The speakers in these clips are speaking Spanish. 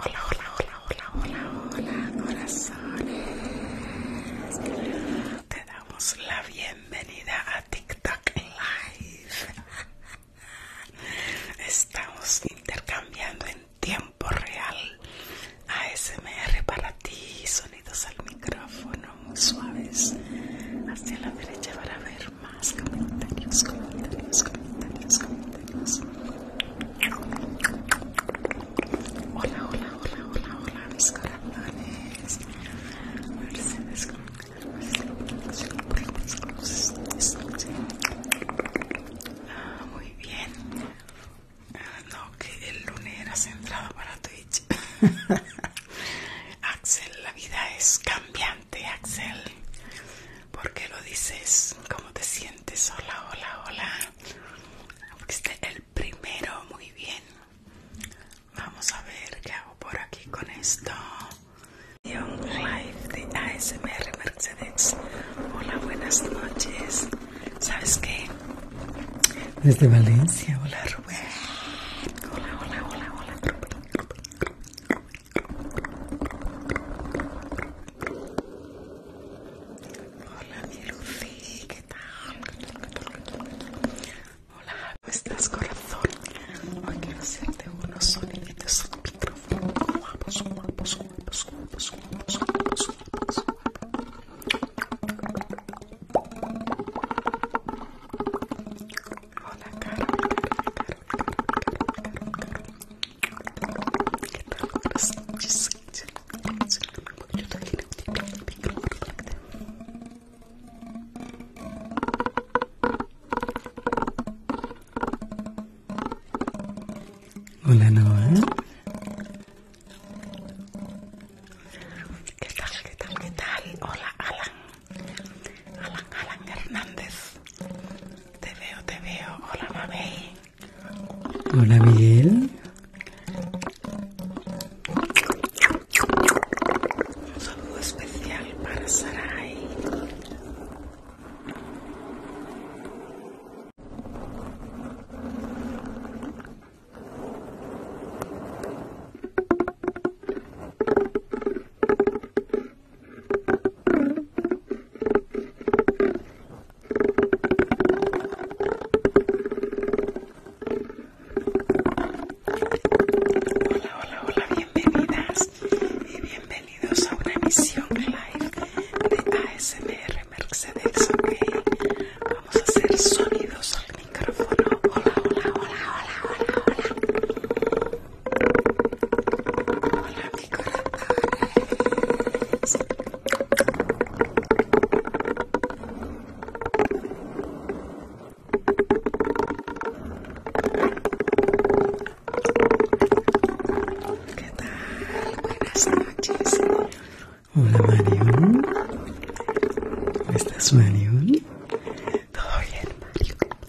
Hola, hola, hola, hola, hola, hola, corazones. Te damos la bienvenida a TikTok Live. Estamos intercambiando en tiempo real ASMR para ti, sonidos al micrófono muy suaves. Hacia la derecha para ver más comentarios, comentarios, comentarios, comentarios. Hola, hola, hola, hola, hola, mis corazones. Mercedes, ah, muy bien. Ah, no, que el lunes eras centrado para Twitch. Axel, la vida es cambiante, Axel. ¿Por qué lo dices? ¿Cómo te sientes? Hola, hola, hola. Fuiste el primero, muy bien. Vamos a ver qué hago por aquí con esto. un live de ASMR Mercedes. Hola, buenas noches. ¿Sabes qué? Desde Valencia, hola Rubén. Hola, hola, hola, hola Hola mi Lucy, ¿qué tal? Hola, ¿cómo estás corazón? Hoy quiero hacerte unos soniditos el micrófono Hola, cara. Hola eh. ¿Qué tal? ¿Qué tal? ¿Qué tal? Hola Alan Alan, Alan Hernández Te veo, te veo Hola Mabel Hola Miguel. Un saludo especial para Sarai. Hola, hola, hola, bienvenidas y bienvenidos a una emisión live de ASMR Mercedes, ok. Vamos a hacer sonidos al micrófono. Hola, hola, hola, hola, hola, hola. Hola, ¿Qué tal? Buenas noches. Hola Marion. estás Marion? Todo bien Marion.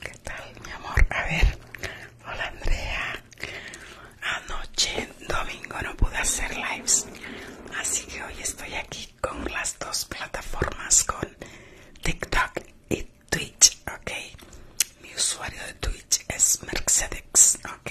¿Qué tal, mi amor? A ver, hola Andrea. Anoche, domingo, no pude hacer lives, así que hoy estoy aquí con las dos plataformas, con TikTok y Twitch, ¿ok? Mi usuario de Twitch es Mercedes, ¿ok?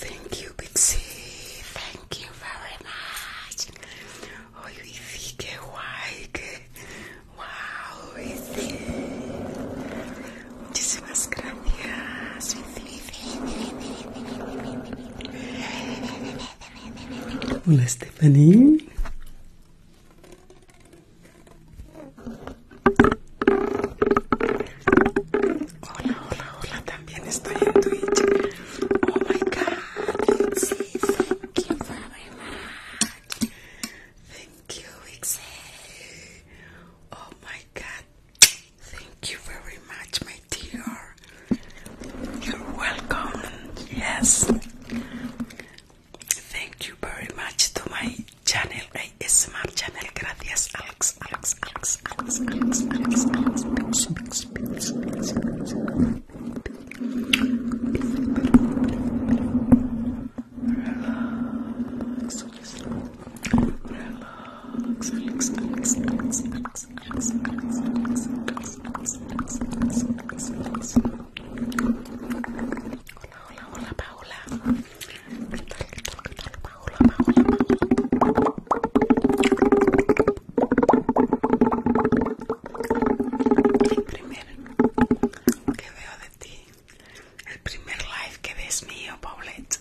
Thank you, Pixie. Thank you very much. Oh, you think Wow, it's Muchísimas gracias. Hola, Stephanie. Hola, hola, hola. También estoy en Twitch. Oh my God, Lixie, thank you my much. Thank you, Oh my God, Thank you very much, my dear. You're welcome. Yes. Thank you very much to my channel, ASMR channel. Gracias, Alex, Alex, Alex, Alex, Alex, Alex, Alex, Alex, Alex, Alex, Alex, Alex, Relax, relax, relax, relax, Hola, hola, hola, Paula ¿Qué tal, qué tal, qué tal, Paola, Paola, Paola? El primer que veo de ti, el primer live que ves mío, Paulette.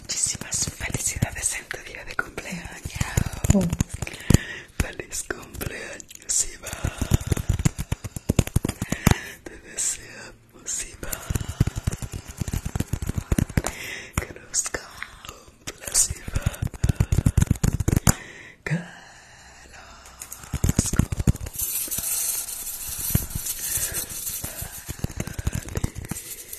Muchísimas felicidades en tu día de cumpleaños. Feliz cumpleaños, Iba. Te deseamos, Simba Que nos cumplas, Iba. Que los cumplas. Feliz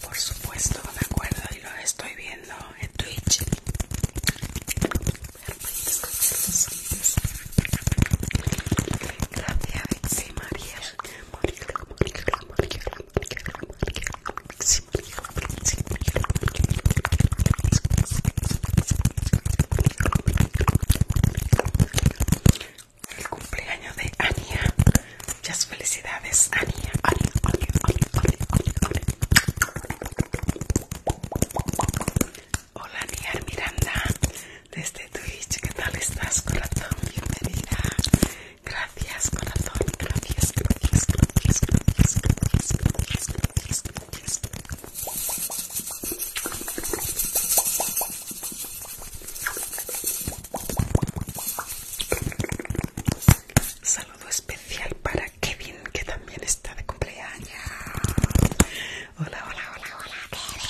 Por supuesto me acuerdo y lo estoy viendo en Twitch. Gracias, Bixi María. El cumpleaños de Ania. Muchas felicidades, Ania. Ania, Ania, Hola, Ania Miranda. Desde Twitch, ¿qué tal estás, corazón? Bienvenida. Gracias, corazón. gracias, gracias, gracias. Saludo especial para Kevin, que también está de cumpleaños. Hola, hola, hola, hola, Kevin.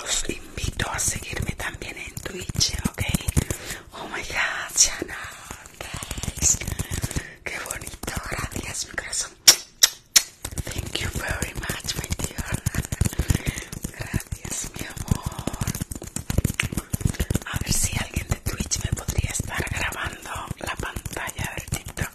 Os invito a seguirme también en Twitch, ¿ok? Oh my God, Chana, qué bonito, gracias mi corazón. Thank you very much, my dear. Dios, mi amor. A ver si alguien de Twitch me podría estar grabando la pantalla del TikTok.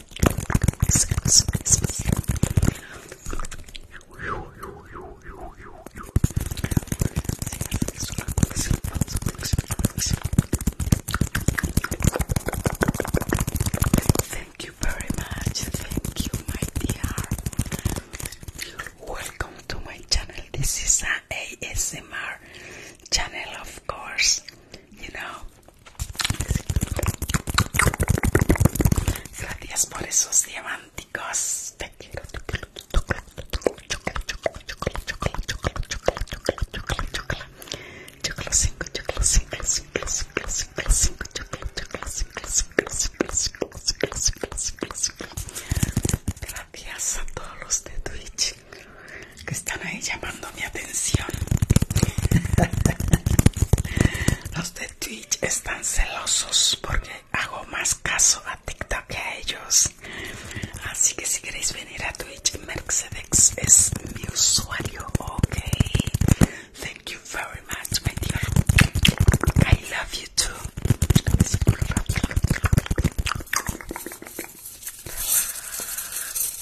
Thank you very much. Thank you, my dear. Welcome to my channel. This is an ASMR channel, of course. You know, Gracias por esos diamánticos Gracias a todos los de Twitch que están ahí llamando mi atención. Los de Twitch están celosos porque hago más caso a TikTok que a ellos. Así que si queréis venir a Twitch, Mercedes es mi usuario, ok. Thank you very much, my dear. I love you too.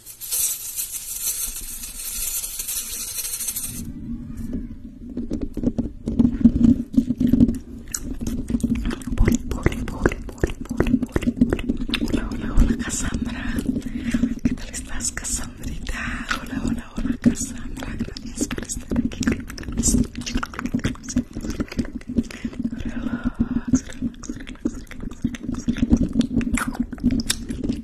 Poli, poli, poli, poli, poli, poli, poli. Hola, hola, hola, Cassandra. ¿Qué tal estás, Cassandrita? Hola, hola, hola, Cassandra. Gracias por estar aquí Relax, relax, relax, relax, relax.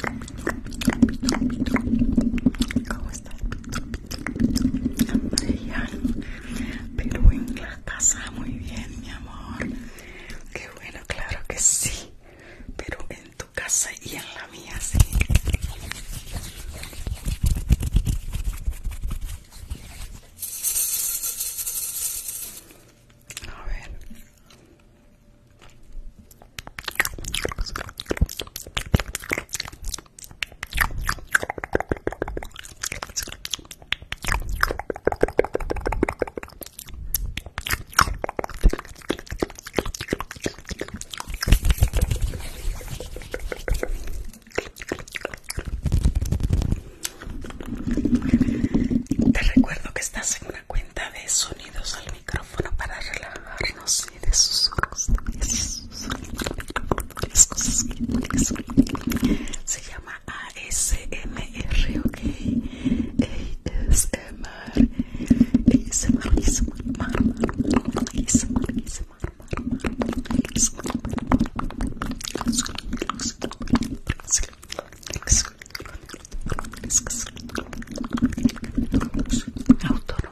¿Cómo Pero en la casa muy bien, mi amor. Qué bueno, claro que sí. Pero en tu casa y en la mía, sí. A ver. Te recuerdo que estás en una cuenta de sonidos al micrófono para relajarnos y de cosas que se llama ASMR, ok. ASMR. ASMR, ASMR, ASMR, ASMR. Autor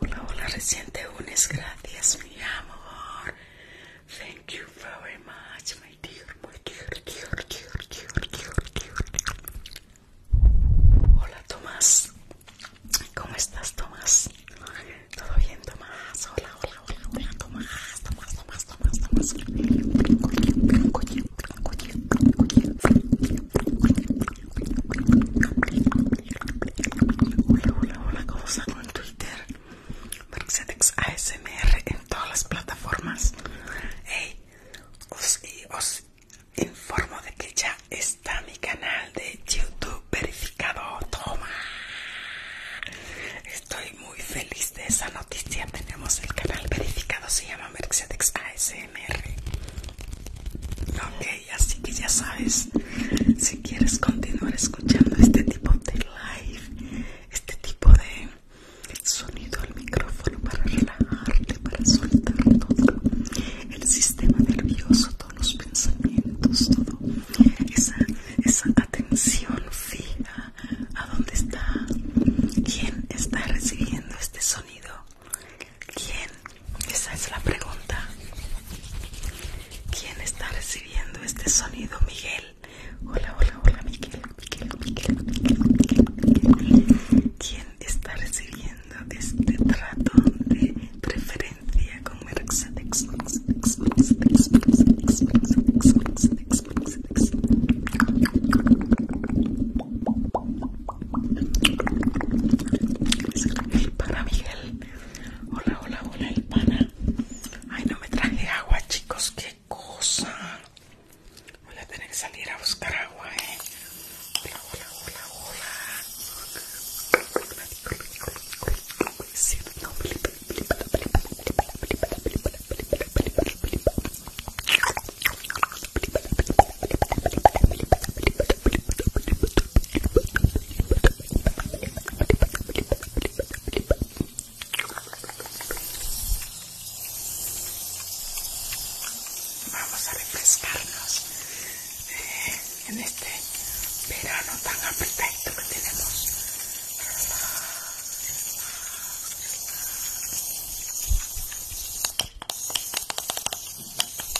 Hola, hola, reciente unes, gracias mi amor. Thank you very much, my dear, my dear, dear, dear, dear, dear, Hola Tomás, ¿cómo estás Tomás? ¿Todo bien Tomás? Hola, hola, hola, hola Tomás, Tomás, Tomás, Tomás, Tomás. Tomás. Hola, hola, hola, ¿cómo están con Twitter? Mercedes ASMR en todas las plataformas. Hey, os, eh, os informo de que ya está mi canal de YouTube verificado. Toma. Estoy muy feliz de esa noticia. Tenemos el canal verificado, se llama Mercedes ASMR. Ok, así que ya sabes, si quieres continuar escuchando este tipo de live, este tipo de sonido al micrófono para relajarte, para soltar todo el sistema nervioso, todos los pensamientos, todo esa, esa atención fija a dónde está, quién está recibiendo este sonido ¿Quién? Esa es la pregunta. ¿Quién está recibiendo este sonido, Miguel? Hola, hola, hola, Miguel, ¿Quién está recibiendo este tratón de preferencia con Para Miguel, Hola, hola, hola, el pana. Ay, no me traje agua, chicos, qué cosa. Voy a tener que salir a buscar agua, eh. Hola, hola, hola, hola. Vamos a refrescarnos eh, en este verano tan perfecto que tenemos.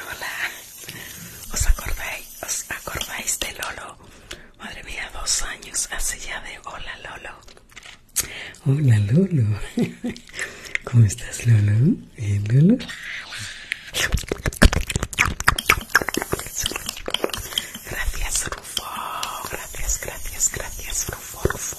Hola, ¿os acordáis? ¿Os acordáis de Lolo? Madre mía, dos años hace ya de Hola Lolo. Hola Lolo ¿Cómo estás Lolo? Gracias Gracias, gracias, gracias Rufo. Rufo,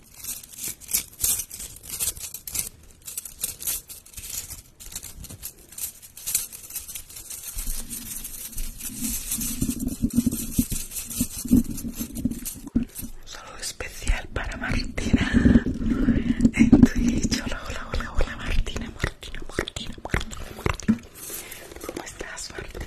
Un saludo especial para Martina en Twitch. Hola, hola, hola, hola, Martina, Martina, Martina, Martina, Martina. ¿Cómo estás, Martina?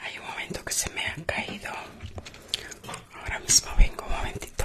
Hay un momento que se me ha caído. Ahora mismo vengo un momentito.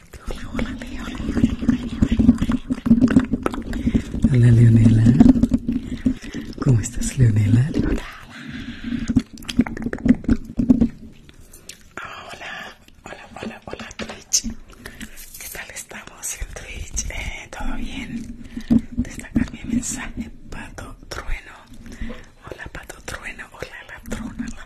Hola Leonela. ¿Cómo estás Leonela? Hola, Hola, hola, hola, hola Twitch. ¿Qué tal estamos en Twitch? Eh, ¿Todo bien? Destacar mi mensaje, Pato Trueno. Hola Pato Trueno, hola la trona, la,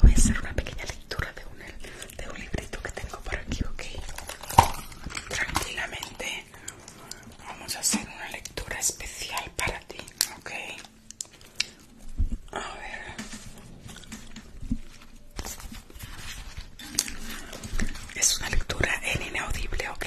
voy a hacer una pequeña lectura de un, librito que tengo por aquí, ok. Tranquilamente vamos a hacer una lectura especial para ti, ok. A ver. Es una lectura en inaudible, ok.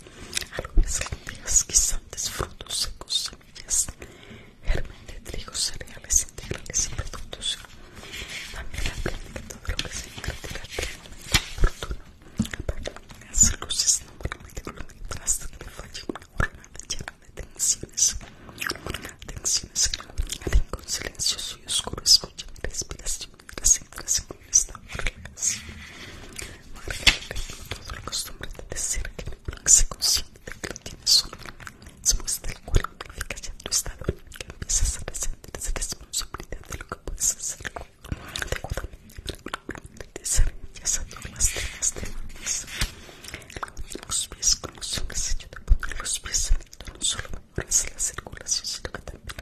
semillas, algunas guisantes, frutos secos, semillas, germen de trigo, cereales integrales y productos. También aprende todo lo que se invertirá momento oportuno. Las luces no permiten hasta que le falle una jornada llena de tensiones. una Tensiones que la única con silencio y oscuro escucha mi respiración de la en esta relajación. Me agrega que no todos la costumbre de decir que el plan se consciente de que lo tienes solo después muestra el cual amplifica ya tu estado que empiezas a presentar esa responsabilidad de lo que puedes hacer adecuadamente. de Ya sabiendo las demás demandas. Los pies con los hombres ayuda a poner los pies en el tono solo mejoras la circulación, sino que también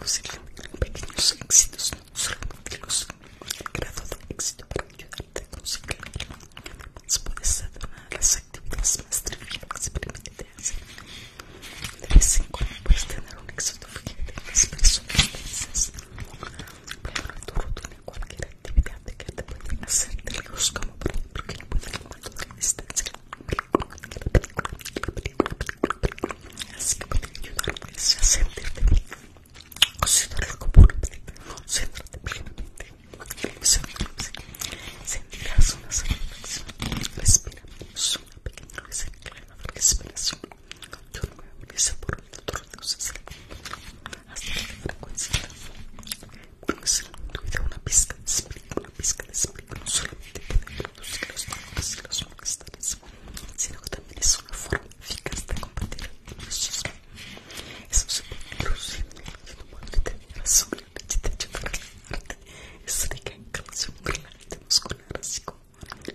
Los ellos eran pequeños éxitos, no solamente los el grado de éxito para ayudarte a conseguir Además puede ser una de las actividades más triviales permitidas. De vez en cuando puedes tener un éxito fíjate en las personas felices. Pero tu rutina cualquier actividad que te puede hacer de como por ejemplo que no puede tomar la distancia. Así que puede ayudarme a sentirte bien, el como No, concéntrate plenamente sentirás una sensación respira, una pequeña respiración, yo no me por hasta la frecuencia, Cuando una pizca de espíritu, una pizca de espíritu, no solamente producir los sino que también es una forma eficaz de combatir el nerviosismo. Es un supercrucible y una molde y te ayuda a muerte. Es rica en calcio, mente muscular, así como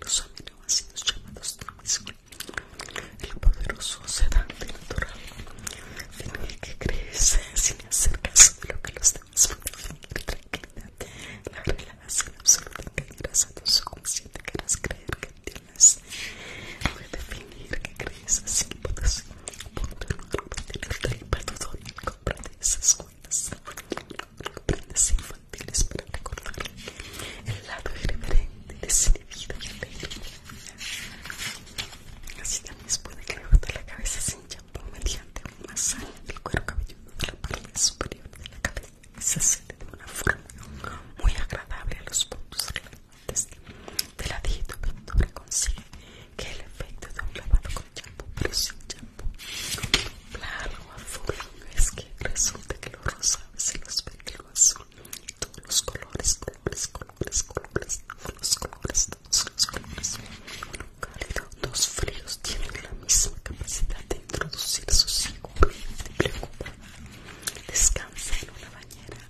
los aminoácidos llamados transmisor. El poderoso sedante natural, final que crece sin hacer caso de lo que los demás pueden definir tranquilidad la relajación absoluta que llegas a tu subconsciente quieras creer que tienes. Redefinir que crees así, hipótesis. Punto número tener tripa dudoria. Cómprate esas cuentas. aprendes infantiles para recordar el lado irreverente, de vida y alegre. Así también puede crearte la cabeza sin champú mediante un masaje del cuero cabelludo de la parte superior de la cabeza se siente de una forma muy agradable a los puntos relevantes de la que consigue que el efecto de un lavado con champú pero sin champú Blanco, azul es que resulta que los rosados y los que lo azul todos los colores colores colores colores todos los colores todos los colores los fríos tienen la misma capacidad de introducir sosiego y preocupa. Descansa en una bañera.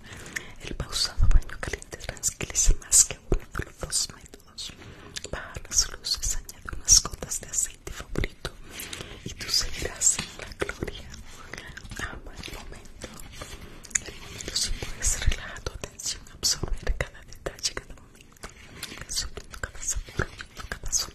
El pausado baño caliente tranquiliza más que uno de los dos métodos. Baja las luces, añade unas gotas de aceite favorito y tú seguirás en la gloria. Ama el momento. El momento si puedes relajar tu atención, absorber cada detalle, cada momento, cada cada sabor, cada sonido.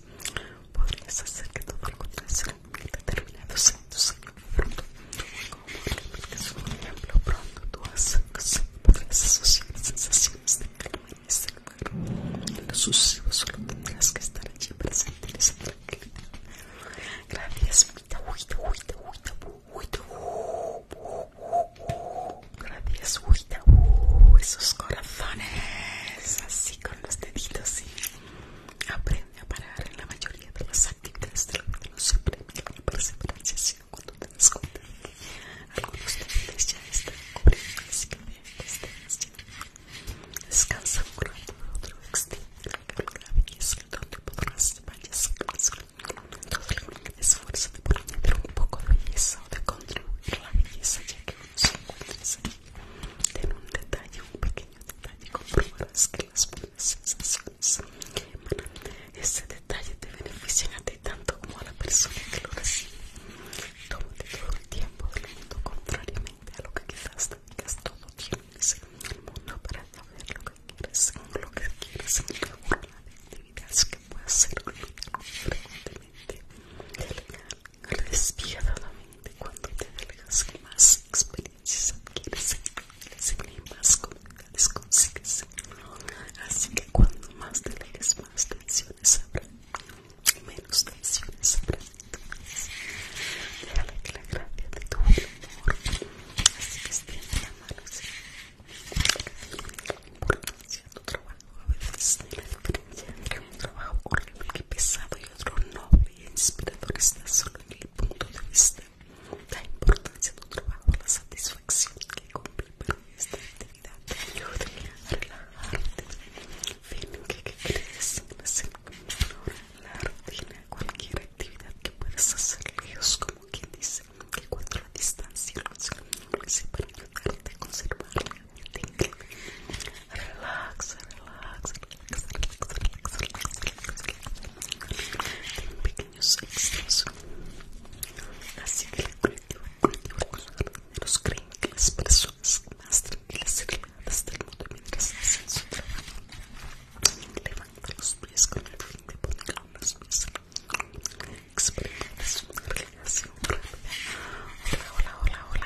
Podrías hacer que todo en determinados en pronto Como por ejemplo, pronto tú podrías asociar sensaciones de calma en este lugar. En lo solo tendrás que estar allí para sentir esa tranquilidad. Gracias, Huita, huita, huita, Gracias, huita. Esos corazones. Así con los los deditos y aprende a parar en la mayoría de las actividades de la vida. No siempre la perseverancia, sino cuando te das cuenta de que algunos niveles ya están cubriendo, así que estés ya. Descansa un rato de otro extiende la belleza donde podrás vayas a el esfuerzo de poner un poco de belleza o de construir la belleza ya que uno se encuentra Ten un detalle, un pequeño detalle, comprobarás que las buenas sensaciones que emanan ese detalle te benefician a ti tanto como a la persona que lo recibe. Tómate todo el tiempo del mundo, contrariamente a lo que quizás te digas, todo ser en el mundo para saber lo que quieres, Según lo que quieres, la actividades que puedas hacer frecuentemente, legal, la mente cuando te adelgas más experiencias adquieres y más comunidades consigues así que cuando más te lees más tensiones habrá menos tensiones habrá déjale que la gracia de tu amor así que extiende la mano así la importancia de tu trabajo a veces ni la un trabajo horrible, pesado y otro noble e inspirador está solo en el punto de vista. La importancia de un trabajo, la satisfacción que cumple para esta actividad te ayuda a relajarte. bien que, que crees en hacer la rutina, cualquier actividad que puedas hacer lejos, como quien dice, que cuando la distancia que se para ayudarte a conservar la relax, relax, relax, relax, relax, relax. pequeños extras. Así que los creen que las personas más tranquilas y del mundo mientras hacen su trabajo. Levanta los pies con el fin de poner pies. rápida. hola, hola.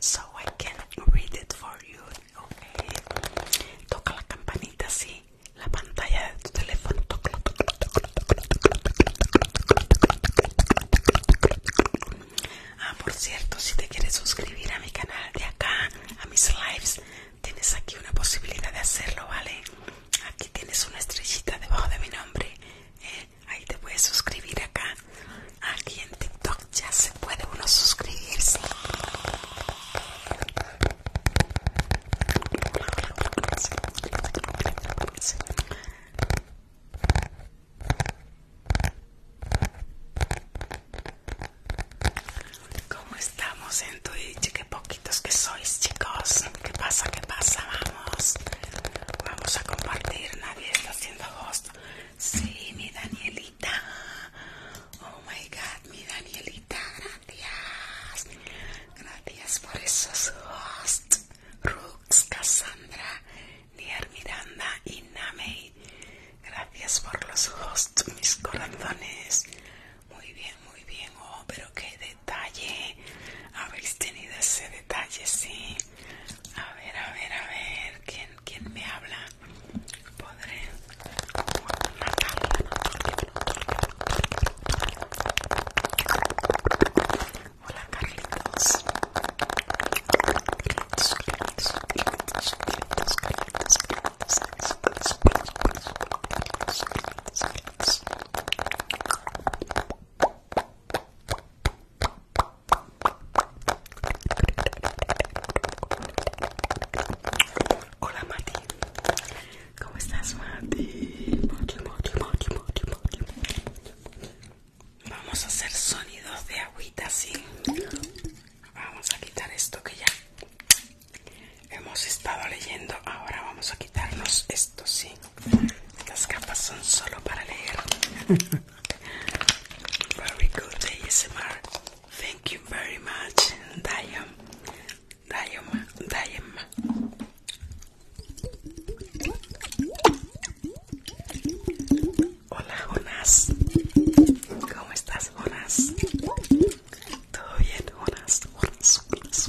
so I can read it for you. Toca la campanita sí, la pantalla de tu teléfono. Ah, por cierto, si te quieres suscribir a mi canal de acá, a mis lives, tienes aquí una posibilidad de hacerlo, ¿vale? Aquí tienes una estrellita debajo de mi nombre. Ahí te puedes suscribir acá. Aquí en TikTok ya se puede uno suscribirse. ¿Cómo estamos en Twitch? Qué poquitos que sois, chicos. ¿Qué pasa? ¿Qué pasa? Vamos. Vamos a compartir. Nadie los Sí, mi Danielita. Oh my god, mi Danielita, gracias. Gracias por esos hosts. Rux, Cassandra, Nier Miranda y Nami Gracias por los hosts, mis corazones. Muy bien, muy bien. Oh, pero qué detalle. Habéis tenido ese detalle, sí. A ver, a ver, a ver, ¿quién, quién me habla? Podré Hola, Carlitos. Hola Mati, ¿cómo estás Mati? Mati, Mati, Mati, Mati, Mati. Vamos a hacer sonidos de agüita, sí. Vamos a quitar esto que ya hemos estado leyendo. Ahora vamos a quitarnos esto, sí. Las capas son solo para leer. Very good ASMR. Thank you very much, Diam. Diam, Diam. Hola, Jonas. ¿Cómo estás, Jonas? Todo bien, Jonas. Jonas, Jonas,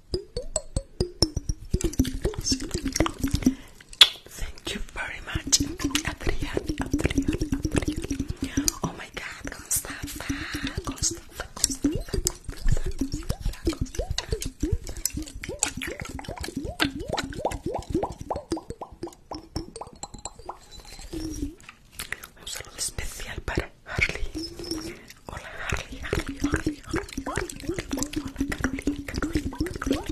Thank you very much. Adrian, Adrian, Adrian. Oh my god, Constanza, Constanza, Constanza, Constanza, Constanza. Un saludo especial para Harley. Hola Harley, Harley, Harley, Harley, Hola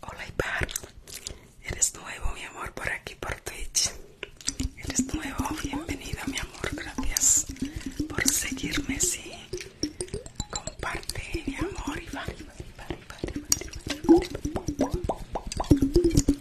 Hola Ibar, eres nuevo mi amor por aquí por Twitch. Eres nuevo, bienvenido mi amor, gracias por seguirme, sí. Comparte mi amor,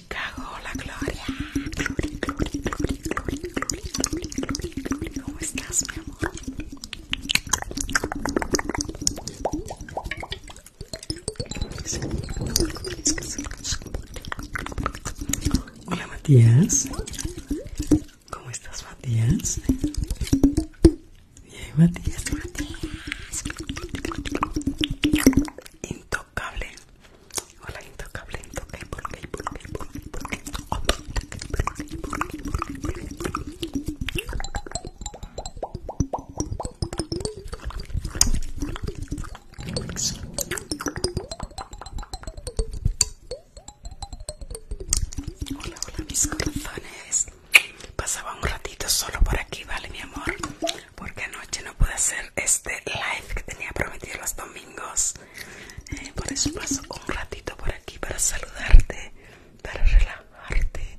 Hola la Gloria. Gloria, Gloria, Gloria, ¿Cómo estás, mi amor? Hola, Matías. ¿Cómo estás, Matías? Matías, Matías intocable. Hola, Hola, hola mis corazones. Pasaba un ratito solo por aquí, ¿vale, mi amor? porque anoche no pude hacer este live que tenía prometido los domingos. Eh, por eso paso un ratito por aquí para saludarte, para relajarte,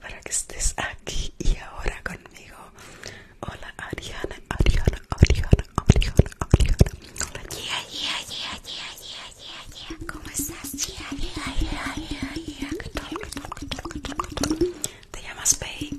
para que estés aquí y ahora conmigo. Hola Ariana, Ariana, Ariana, Ariana, Ariana. Hola, yeah, yeah, yeah, yeah, yeah, yeah, yeah. ¿Cómo estás? Yeah, yeah, ¿Qué tal, qué tal, qué tal, ¿Te llamas Bey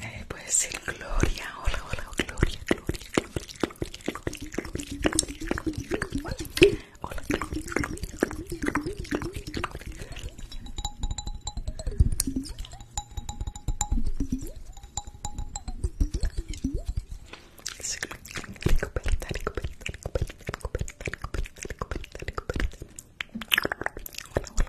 Eh, puede ser Gloria, hola, hola, Gloria, Gloria, Gloria, Gloria, Gloria, Gloria, Gloria, hola, Gloria, Gloria, Gloria, Gloria, Gloria, Hola, hola,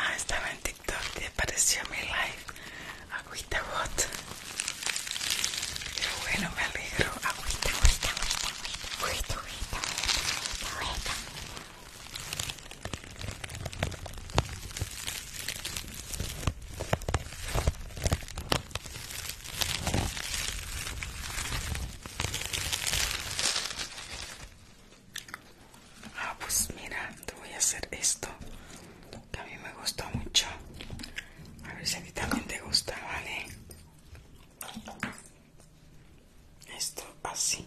Ah, estaba en TikTok y apareció mi live agüita bot pero bueno me alegro agüita agüita agüita agüita Ah, pues mira, te voy a hacer esto que a me gustó mucho. A ver si a ti también te gusta, ¿vale? Esto así.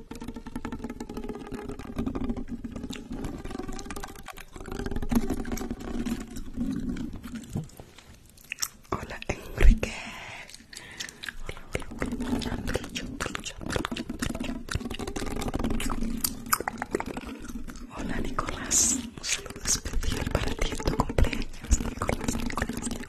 Hola Enrique. Hola, Nicolás. Un saludo especial para ti tu cumpleaños. Nicolás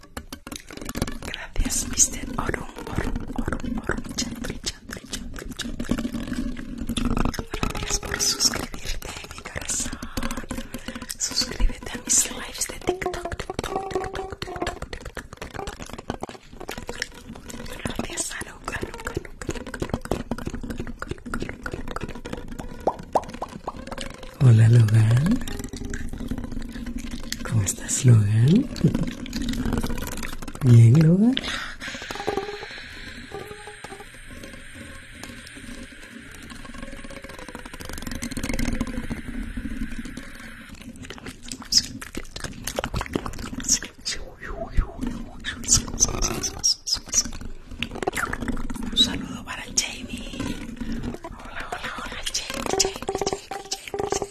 Gracias, Mr. Orum, Gracias por suscribirte, mi corazón. Suscríbete a mis lives de TikTok, Gracias Hola, Logan. ¿Cómo estás, Logan? Bien, Logan. Un saludo para Jamie. Hola, hola, hola, Jamie, Jamie, Jamie, Jamie.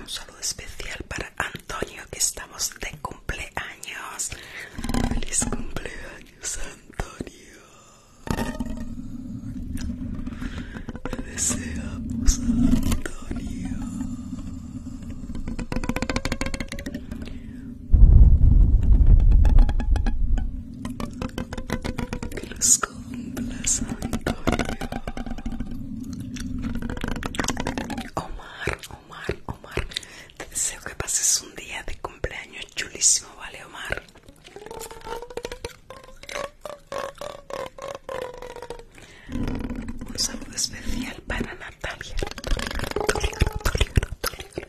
Un saludo especial para Antonio que estamos de cumpleaños. Feliz cumpleaños, Antonio. Te deseamos, Antonio. Que los cumpla, Antonio. Omar, Omar, Omar. Te deseo que pases un día de cumpleaños chulísimo, ¿vale, Omar? Un saludo especial para Natalia. Natalia,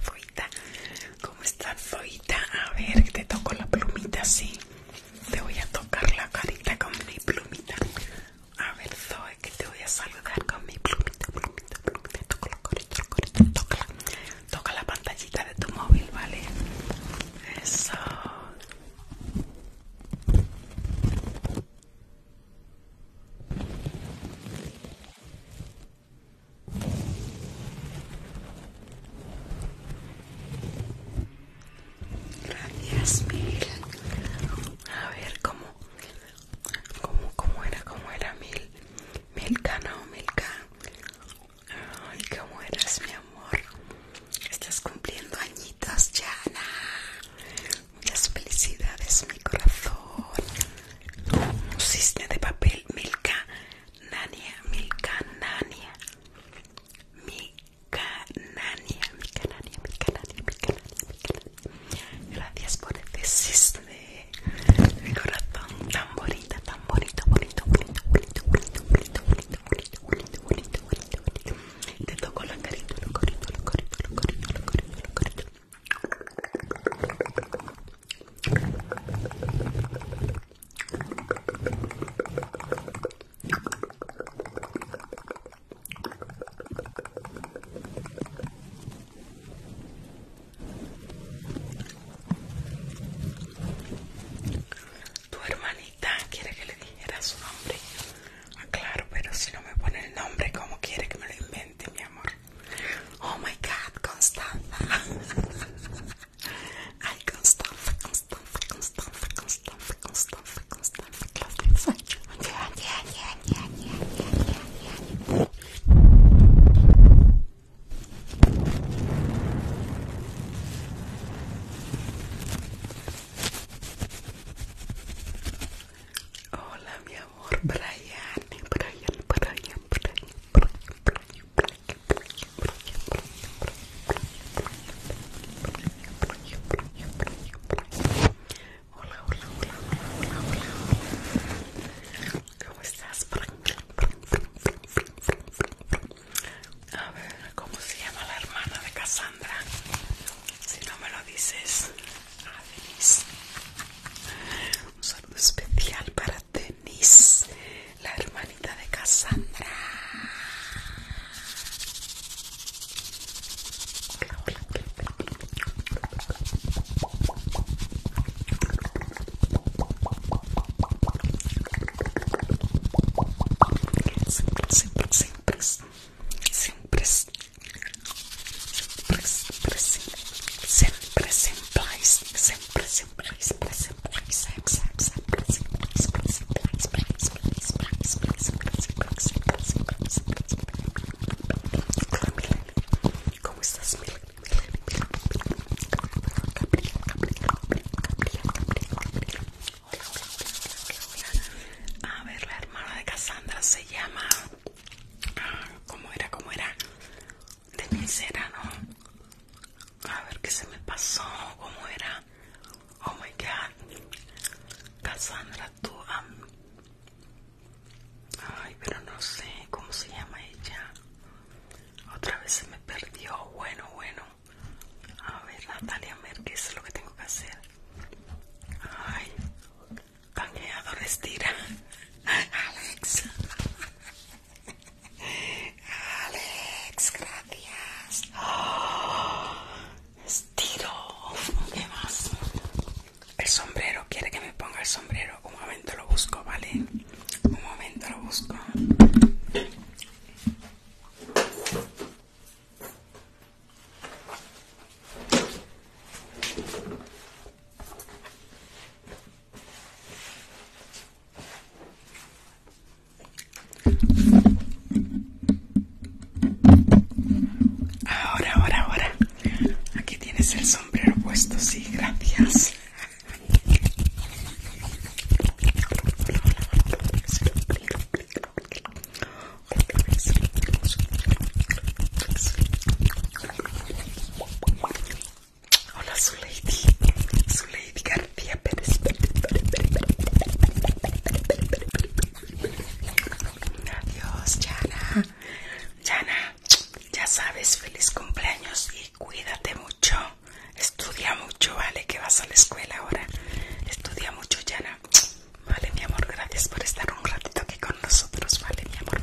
foita ¿Cómo estás, Zoe? A ver, te toco la plumita, sí. Te voy a tocar la carita con mi plumita. A ver, Zoe, que te voy a saludar con mi plumita, plumita, plumita. Toco la carita, la Toca la pantallita de tu móvil, ¿vale? Eso. Gracias, Mil. A ver, ¿cómo? ¿Cómo, cómo era? ¿Cómo era Mil? Milka, no, Milka. Ay, ¿cómo eras, mi amor? Estás cumpliendo añitos, ya Muchas felicidades, mi corazón cisne de papel Milka Nania Milka Nania Milka Nania Milka Nania Milka Nania Milka Nania Gracias por este cisne de corazón tan bonito, tan bonito, bonito, bonito, bonito, bonito, Te toco la carita, tu hermanita quiere que le dijera su nombre. Ah, claro, pero si no me pone el nombre, ¿cómo quiere que me lo invente, mi amor? Oh my god, Constanza! I Constanza, Constanza, Constanza, Constanza, Constanza, Constanza, Constanza. Yeah, yeah, yeah, yeah, yeah, Brian, Brian, Brian, Brian, Hola, hola, hola, hola, hola, ¿Cómo estás? A ver, ¿cómo se llama la hermana de Cassandra? Si no me lo dices, Un saludo especial para Denise, la hermanita de Cassandra. Siempre, siempre, siempre, siempre, siempre, siempre, siempre, siempre, siempre, a ver, la hermana de Cassandra se llama. ¿Cómo era? ¿Cómo era? de mi ¿no? A ver qué se me pasó, cómo era. Oh my god. Cassandra, tú. Ay, pero no sé cómo se llama ella. Otra vez se me perdió. Bueno, bueno. A ver, Natalia qué es lo que tengo que hacer. Ay, canjeador estira. Alex. Alex, gracias. estiro. ¿Qué más? El sombrero. ¿Quiere que me ponga el sombrero? Un momento lo busco, ¿vale? Un momento lo busco. Ahora, ahora, ahora. Aquí tienes el sombrero puesto, sí, gracias. Hola, su lady. Su lady García Pérez. Adiós, Yana. Yana, ya sabes, feliz cumpleaños y cuídate mucho. Estudia mucho, vale, que vas a la escuela ahora. Estudia mucho, Yana. Vale, mi amor, gracias por estar un ratito aquí con nosotros, vale, mi amor.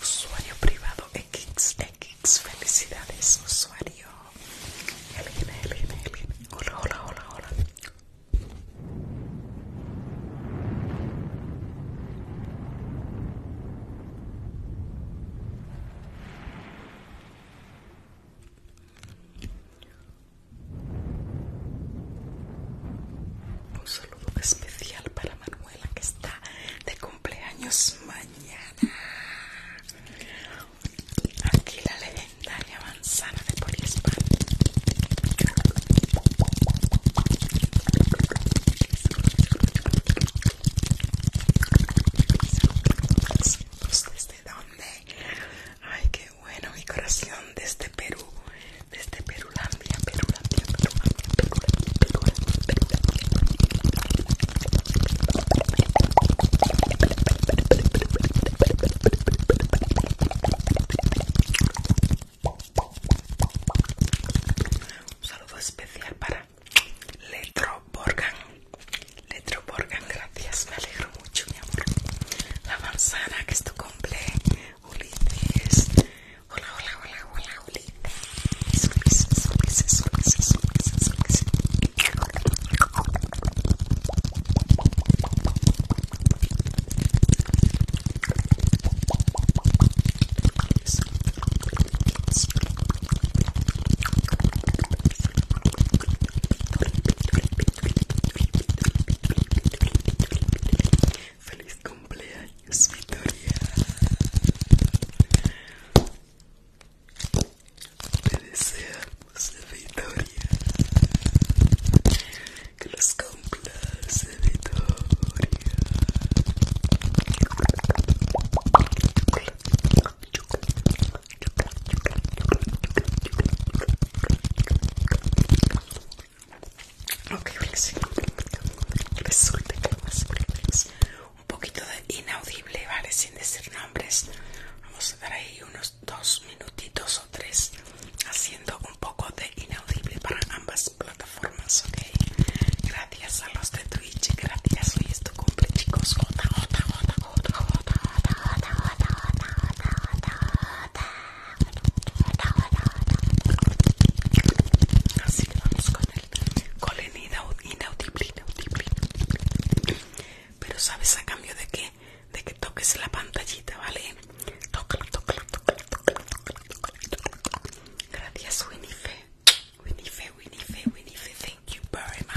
Usuario privado XX, felicidades, usuario. Hola, hola, hola, hola. Un saludo especial para Manuel. La que está de cumpleaños mañana. Aquí la legendaria manzana de Poliespan. ¿Desde dónde? Ay, qué bueno, mi corazón, desde este Perú desde Perulandia, Perulandia, Perulandia, Perulandia, Perulandia. Un saludo especial para Letro Borgan. Letro Borgan, gracias, me alegro mucho, mi amor. La manzana que es tu cumple Ulises. Hola, hola, hola, hola, hola, hola, hola, hola, hola, hola, Feliz cumpleaños es mi Te deseamos victoria, que los complace de victoria. Ok, Resulta que vamos a un poquito de inaudible, ¿vale? Sin decir nombres. Vamos a dar ahí unos dos minutitos o tres haciendo un poco de inaudible para ambas plataformas, ¿ok? Gracias a los de Twitch, gracias. Hoy es tu cumple, chicos. jota, jota, jota, jota, jota, jota, jota, jota, jota, jota, jota, jota, jota, jota, jota, jota, Así que vamos con el colin inaudible, Pero sabes a cambio de qué? De que toques la pantallita, ¿vale? Tócalo, tócalo, tócalo Gracias, Winniefe. Winifé, Winifé, Winniefe. Thank you very much.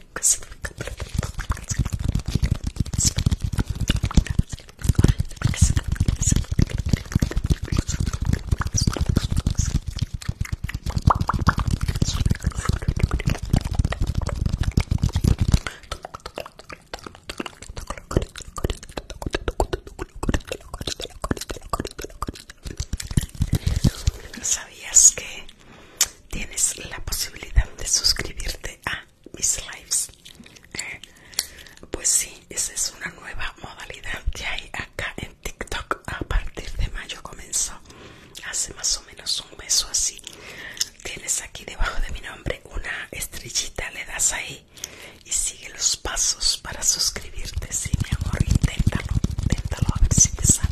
¿Sabías que tienes la posibilidad de suscribirte a mis lives. Eh, pues sí, esa es una nueva modalidad que hay acá en TikTok. A partir de mayo comenzó, hace más o menos un mes o así. Tienes aquí debajo de mi nombre una estrellita, le das ahí y sigue los pasos para suscribirte. Sí, mi amor, inténtalo, inténtalo a ver si te sale.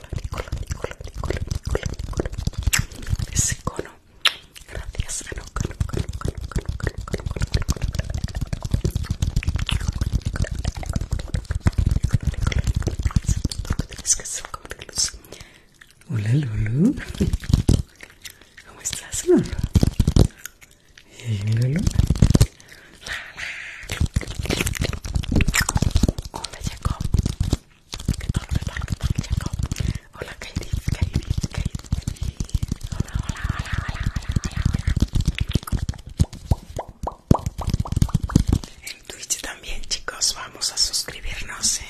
Hola, Gracias, Hola Hola ¿Qué tal? ¿Qué tal? ¿Qué Hola Hola, hola, hola, hola, hola, hola. En Twitch también, chicos, vamos a suscribirnos. ¿eh?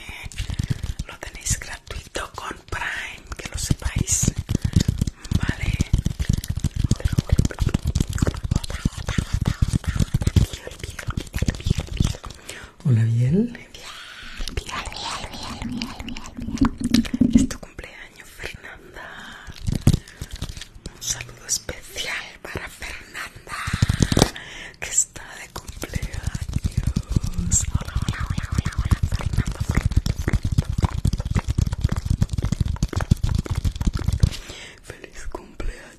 Lo tenéis gratuito con Prime, que lo sepáis. Vale. Hola, Biel. Biel, Biel, Biel, Biel, Biel, Es tu cumpleaños, Fernanda. Un saludo especial para Fernanda, que está de cumpleaños. Hola, hola, hola, hola, hola, Fernanda. Feliz cumpleaños.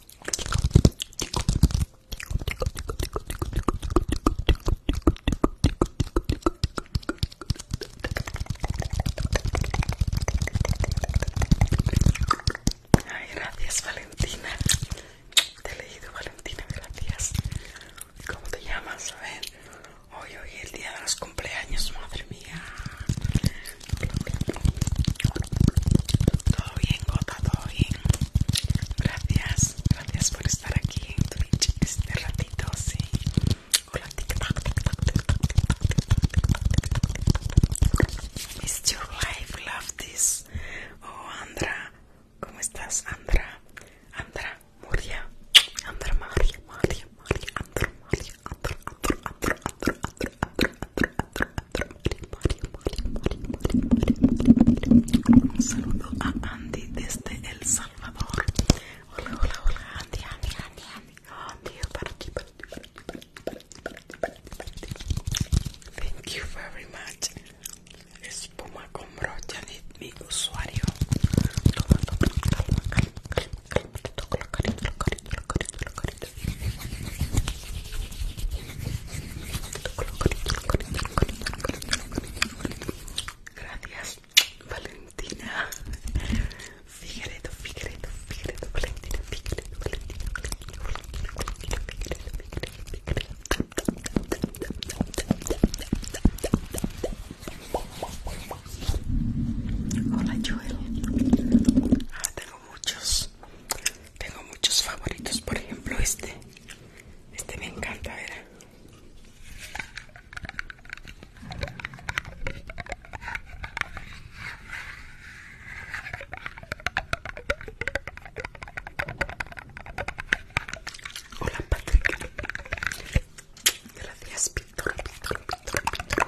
Ay, gracias Valentina. Te he leído Valentina, gracias. ¿Cómo te llamas? A ver. Hoy, hoy, el día de los cumpleaños, madre mía. Todo bien, Gota, todo bien. Gracias, gracias por estar aquí en Twitch este ratito, sí. Hola, tic tic tic tic tic tac, TikTok, TikTok, TikTok, TikTok. It's your life, love this. Oh, Andra, ¿cómo estás, Andra? Andra, muria Andra, María, María, María, Andra, María, Andra, Andra, Andra, Andra, Andra. Un saludo a Andy desde El Salvador. Hola, hola, hola, Andy, Andy, Andy, Andy. Thank you very much. Espuma con brocha mi usuario. Gracias, Valentina. Figueredo, Figueredo, Figueredo, Valentina, Figueredo, Valentina, Hola Joel. tengo muchos. Tengo muchos favoritos, por ejemplo este. Este me encanta, ¿verdad? Hola Patrick. Gracias, Víctor, Víctor, Víctor, Víctor,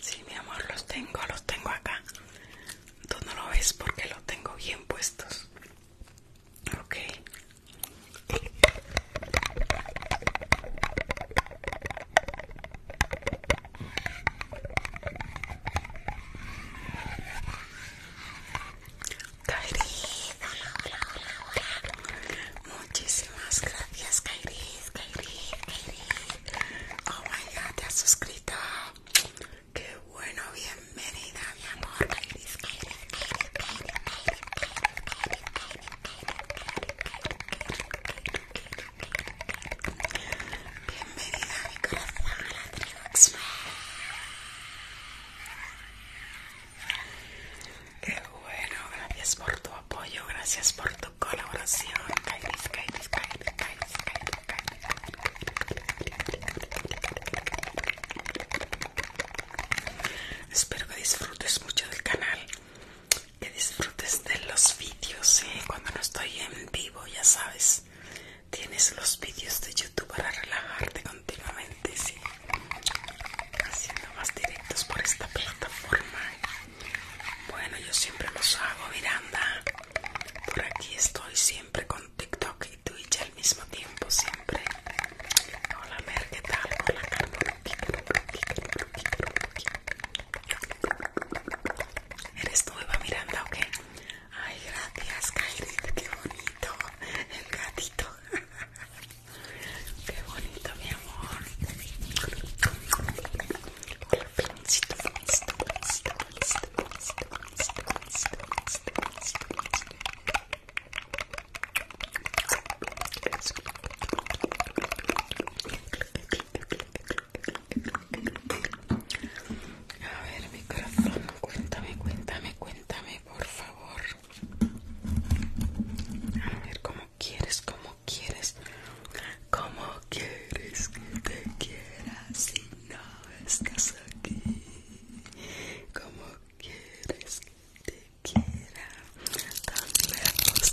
Sí, mi amor, los tengo, los tengo acá. Tú no lo ves porque los tengo bien puestos. Ok. Kairis, hola, Muchísimas gracias, Kairis, Kairis, Oh my god, te has suscrito. Qué bueno, bienvenida, mi amor. Bienvenida, mi Qué bueno, gracias por tu apoyo, gracias por tu colaboración. Espero que disfrutes mucho del canal, que disfrutes de los vídeos, ¿eh? cuando no estoy en vivo, ya sabes. Tienes los vídeos de YouTube para relajarte continuamente, sí. Haciendo más directos por esta plataforma. Bueno, yo siempre los hago, Miranda. Por aquí estoy siempre con TikTok y Twitch al mismo tiempo, siempre. Hola, Mer, ¿qué tal? Hola, Carmen. Eres nueva, Miranda, qué? Ay, gracias, Kylie. qué bonito. El gatito. Qué bonito, mi amor. A ver, mi corazón, cuéntame, cuéntame, cuéntame, por favor. A ver, ¿cómo quieres, cómo quieres? ¿Cómo quieres que te quiera si no estás aquí? ¿Cómo quieres que te quiera tan lejos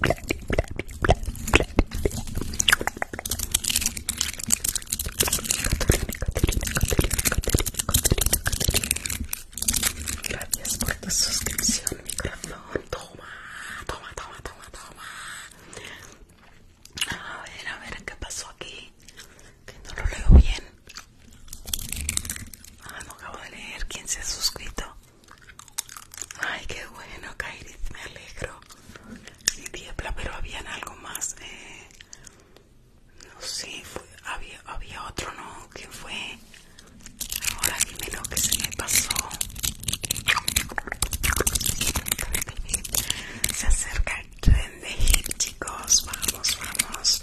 Gracias por tu suscripción, mi corazón. Toma, toma, toma, toma, toma. A ver, a ver, ¿qué pasó aquí? Que no lo leo bien. Ah, no acabo de leer quién se ha suscrito. Ay, qué bueno, Kairi, me alegro. Y pero habían algo más. Eh, no sé, había, otro, ¿no? ¿Quién fue? Ahora dime lo que se me pasó. Se acerca el tren de hit, chicos. Vamos, vamos.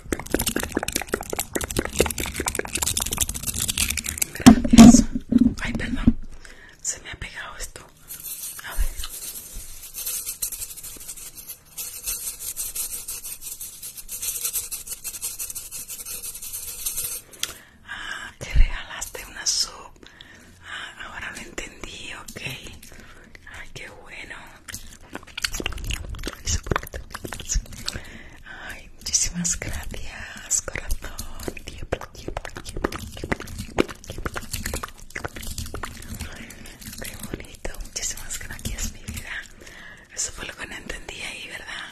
Gracias. Ay, perdón. Se me ha pegado esto. A ver. Ah, te regalaste una sub. Ah, ahora lo entendí, ok. Ay, qué bueno. Ay, muchísimas gracias, corazón. Qué bonito, muchísimas gracias, mi vida. Eso fue lo que no entendí ahí, ¿verdad?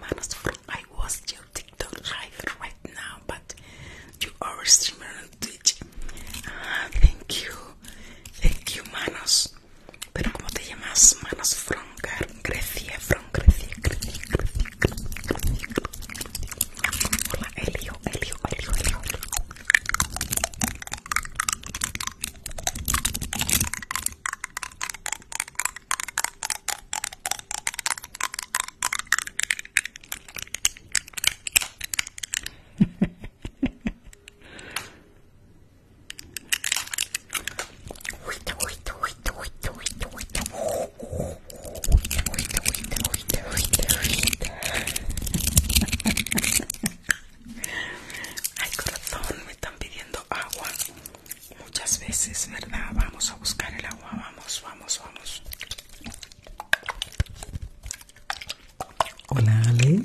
Manos, I was your TikTok live right now, but you are streamer on Twitch. Ah, thank you, thank you, Manos. Pero ¿cómo te llamas? Manos Froncar, Grecia, Fron, Grecia, Grecia, Ay corazón, me están pidiendo agua muchas veces, ¿verdad? Vamos a buscar el agua, vamos, vamos, vamos. Hola, Ale.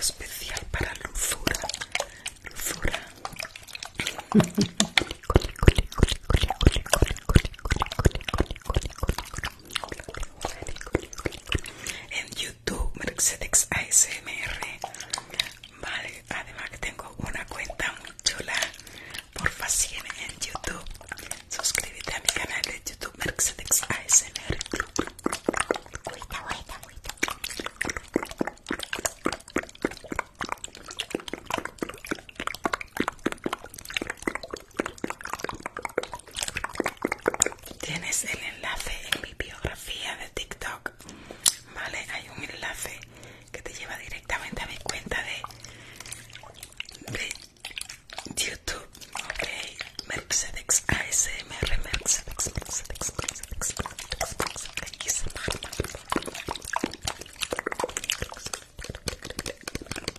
especial para Luzura. Luzura. en YouTube Mercedes ASMR vale además que tengo una cuenta muy chula por sígueme en YouTube suscríbete a mi canal de YouTube Mercedes ASMR Tienes el enlace en mi biografía de TikTok. Vale, hay un enlace que te lleva directamente a mi cuenta de, de YouTube. Ok, Mercedes ASMR, Mercedes,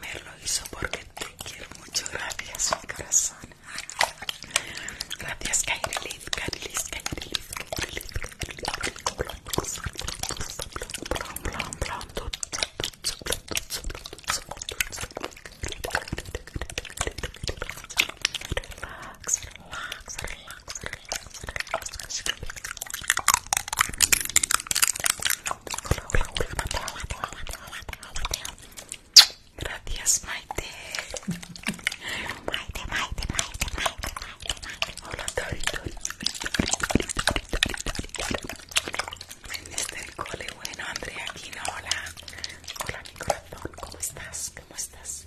Me lo hizo porque te quiero mucho. Gracias, corazón. Gracias, Kairilis, Kairilis, Kairilis, Kairilis, Relax, relax, relax, Gracias, Maite. Maite, Maite, Maite, Maite, Maite, Hola, Tori, Tori, cole, bueno, Andrea aquí, hola. Hola, mi corazón, ¿cómo estás? ¿Cómo estás?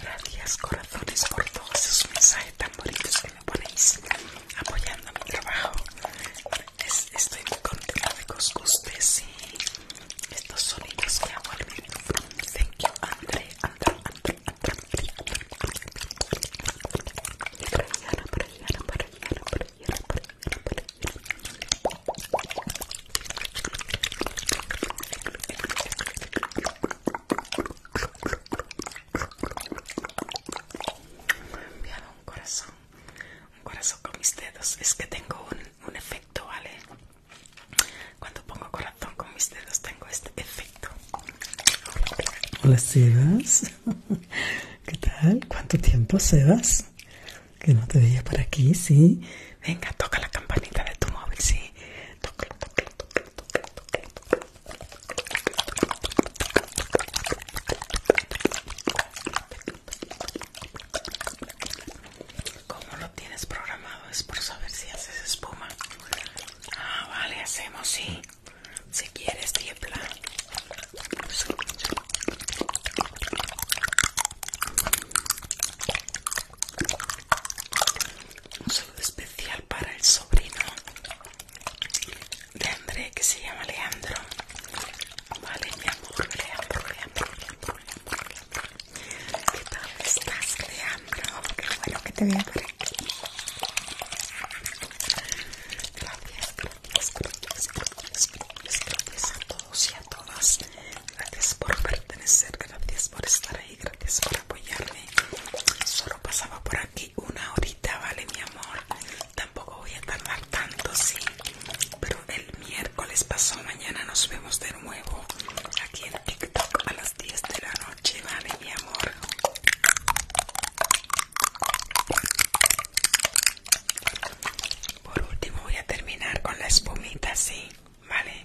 Gracias corazones por todos esos mensajes tan bonitos que me ponéis apoyando mi trabajo. estoy muy contenta de que os guste estos sonidos que hago al mismo Thank you, André, André, André, André, André, André. Me enviado un corazón, un corazón con mis dedos. Es que tengo un, un efecto, ¿vale? Cuando pongo corazón con mis dedos tengo este efecto. Hola Sebas, ¿qué tal? ¿Cuánto tiempo Sebas? Que no te veía por aquí, sí. Venga, toca la campanita de tu móvil, sí. ¿Cómo lo tienes programado? Es por saber si haces espuma. Ah, vale, hacemos, sí. Si quieres, tiembla. Un saludo especial para el sobrino de André que se llama Leandro. Vale, mi amor, Leandro, Leandro, Leandro, Leandro, Leandro. ¿Qué tal estás, Leandro? Qué bueno que te vea por aquí. Gracias, gracias, gracias, gracias, gracias a todos y a todas. Gracias por pertenecer, gracias por estar ahí, gracias por apoyarme. Solo pasaba por aquí una horita, ¿vale, mi amor? Tampoco voy a tardar tanto, sí. Pero el miércoles pasó, mañana nos vemos de nuevo aquí en TikTok a las 10 de la noche, ¿vale, mi amor? Por último voy a terminar con la espumita, sí, ¿vale?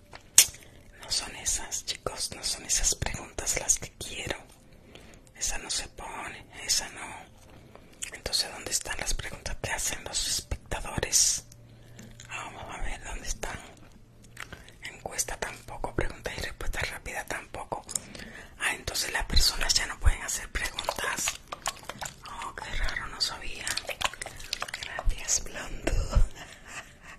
No son esas, chicos, no son esas preguntas las que quiero. Esa no se pone, esa no. Entonces, ¿dónde están las preguntas que hacen los espectadores? Ah, vamos a ver, ¿dónde están? Encuesta tampoco, pregunta y respuesta rápida tampoco. Ah, entonces las personas ya no pueden hacer preguntas. Oh, qué raro, no sabía. Gracias, Blondo.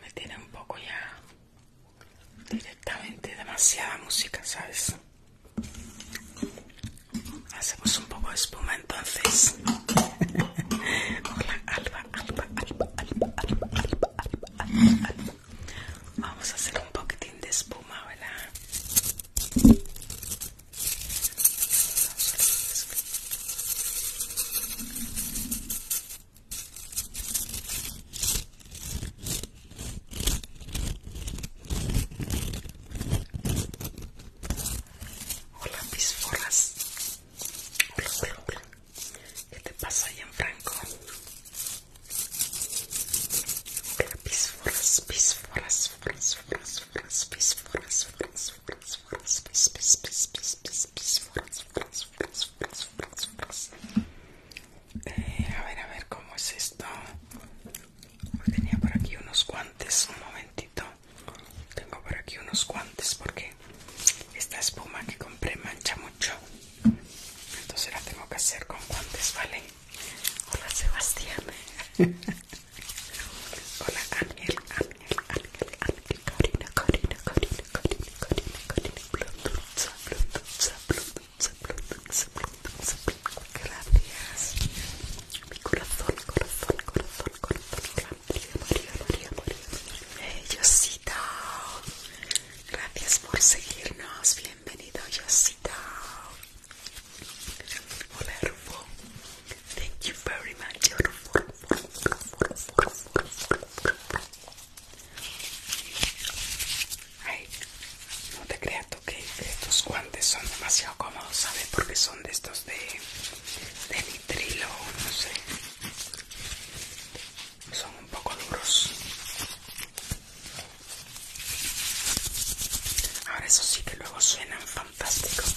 me tiene un poco ya directamente demasiada música, ¿sabes? Hacemos un poco de espuma entonces. Hola, Alba, Alba, Alba, Alba, Alba, Alba, Alba. Vamos a hacer un poquitín de espuma, ¿verdad? Hola pisforas, Hola, hola, hola. ¿Qué te pasa, ahí en Franco? Hola pisforas, forras, forras, forras, forras, mis forras, eh, a ver, a ver, ¿cómo es esto? Tenía por aquí unos guantes, un momentito. Tengo por aquí unos guantes porque esta espuma que compré mancha mucho. Entonces la tengo que hacer con guantes, ¿vale? Hola Sebastián. Hola Gracias. Mi corazón, corazón, corazón, corazón, María, María, María, María. Yosita. Gracias por seguirnos. Bienvenido, Yosita. Thank you very much, Ay, no te creas tú que estos guantes son demasiado cómodos, ¿sabes? Porque son de estos de, nitrilo, no sé. Son un poco duros. Ahora eso sí que luego suenan fantásticos.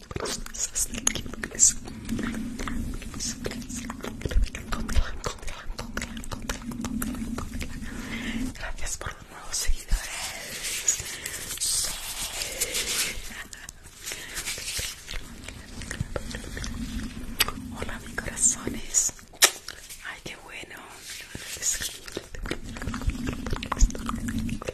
Gracias por los nuevos seguidores. Hola, mi corazones. Ay, qué bueno.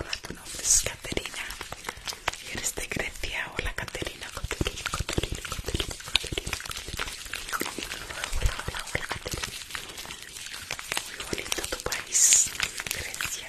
Hola, tu nombre es Caterina y eres de Grecia. Hola, Caterina, Muy bonito tu país. Grecia,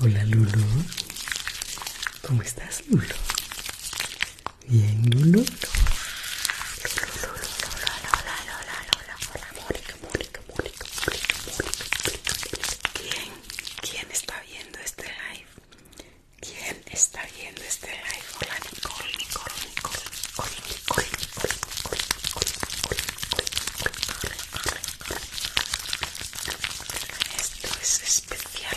Hola Lulu, ¿cómo estás Lulu? Bien Lulu. Mónica, ¿Quién, quién está viendo este live? ¿Quién está viendo este live? hola Esto es especial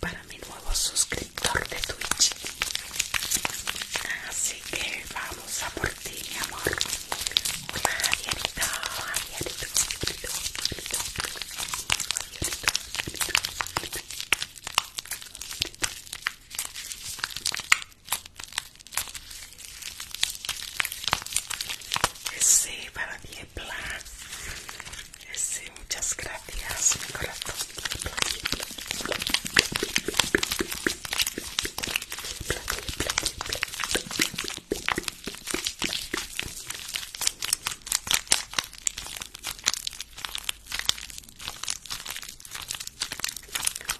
para mi nuevo suscriptor de Twitch. Así que vamos a por ti, mi amor. Ese para Diepla. Ese, muchas gracias, mi corazón.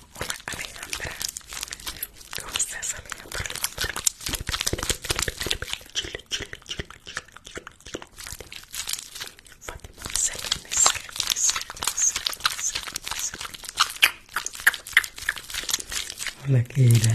Hola Alejandra, ¿cómo estás Alejandra? Chile, chile, chile, chile, chile, chile. Fátima, Selene, Hola ¿Qué tal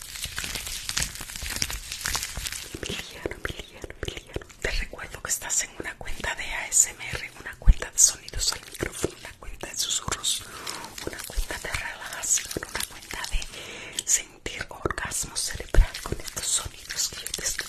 Emiliano, Emiliano, Emiliano. Te recuerdo que estás en una cuenta de ASMR, una cuenta de sonidos al micrófono, una cuenta de susurros, una cuenta de relajación, una cuenta de sentir orgasmo cerebral con estos sonidos que yo te estoy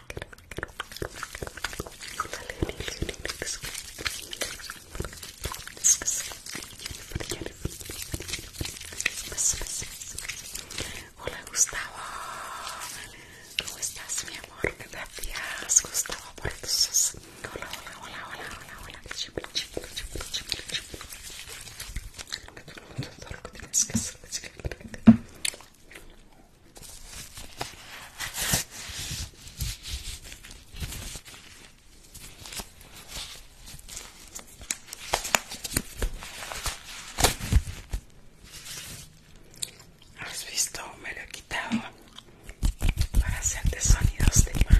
Hola Gustavo, ¿cómo estás mi amor? Gracias Gustavo por tus Hola, hola, hola, hola, hola, hola. Has visto, me lo he quitado para de sonidos de mano.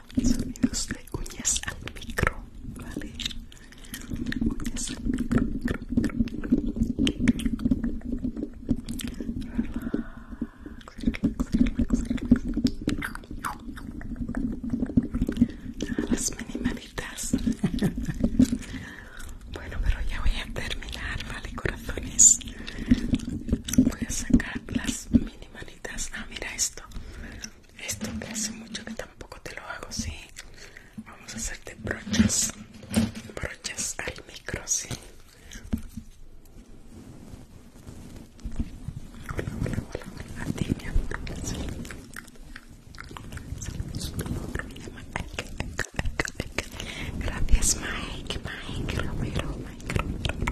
sonidos de uñas al micro, ¿vale? Uñas al micro, micro, micro, Las mini manitas. Bueno, pero ya voy a terminar, ¿vale, corazones? Voy a sacar las mini manitas. Ah, mira esto. Esto que hace mucho que tampoco te lo hago, sí. Vamos a hacerte brochas, brochas al micro, sí. Hola, hola, hola, A ti, Mike. Gracias, Mike. Mike Romero. Mike Romero.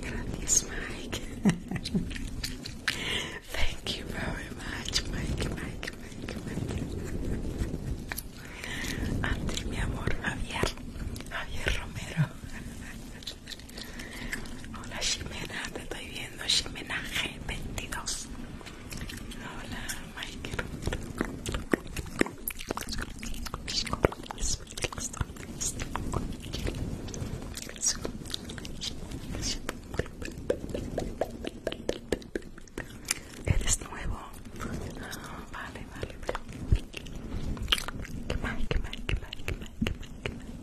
Gracias, Mike. Thank you very much, Mike, Mike, Mike, Mike. Antes, mi amor, Javier, Javier Romero. Hola, Ximena, te estoy viendo, Ximena G22. Hola, Mike. Eres nuevo. Ah, vale, vale, vale. ¿Qué más? ¿Qué más? ¿Qué más? ¿Qué más? ¿Qué más? ¿Qué más?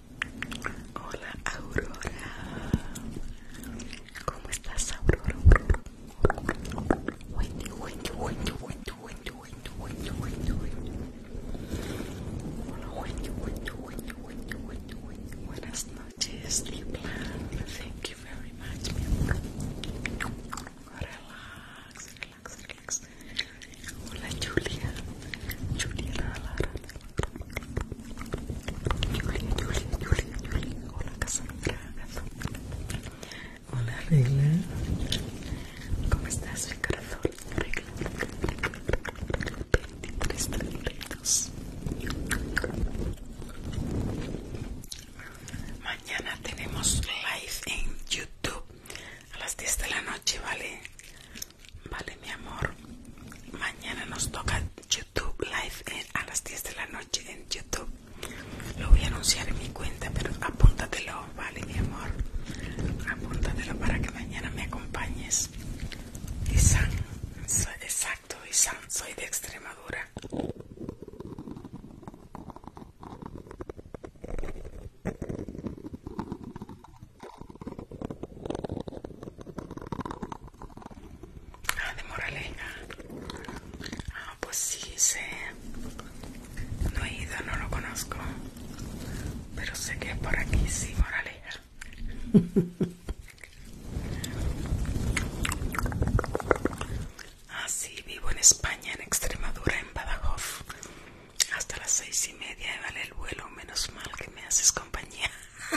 ¿Qué más? Hola, Aurora. ¿Cómo estás, Aurora? Wendy, Wendy, Wendy, Wendy, Buenas noches, Liplan. Thank you very much, Relax, relax, relax. Hola, Julia. Julia, Lara. Julia, Julia, Julia, Julia. Hola, Cassandra. Hola, Regla. ¿Cómo estás, mi corazón? Regla. 23 Mañana tenemos live en YouTube a las 10 de la noche, ¿vale? Vale, mi amor. Mañana nos toca YouTube live a las 10 de la noche en YouTube. Lo voy a anunciar en mi cuenta, pero apúntatelo vale mi amor. Apúntatelo para que mañana me acompañes. Isán, soy, exacto, Isán, soy de Extremadura. Ah, de Moraleja. Ah, pues sí, sí. No he ido, no lo conozco. Pero sé que por aquí, sí, moraleja. Así ah, vivo en España, en Extremadura, en Badajoz. Hasta las seis y media vale el vuelo. Menos mal que me haces compañía.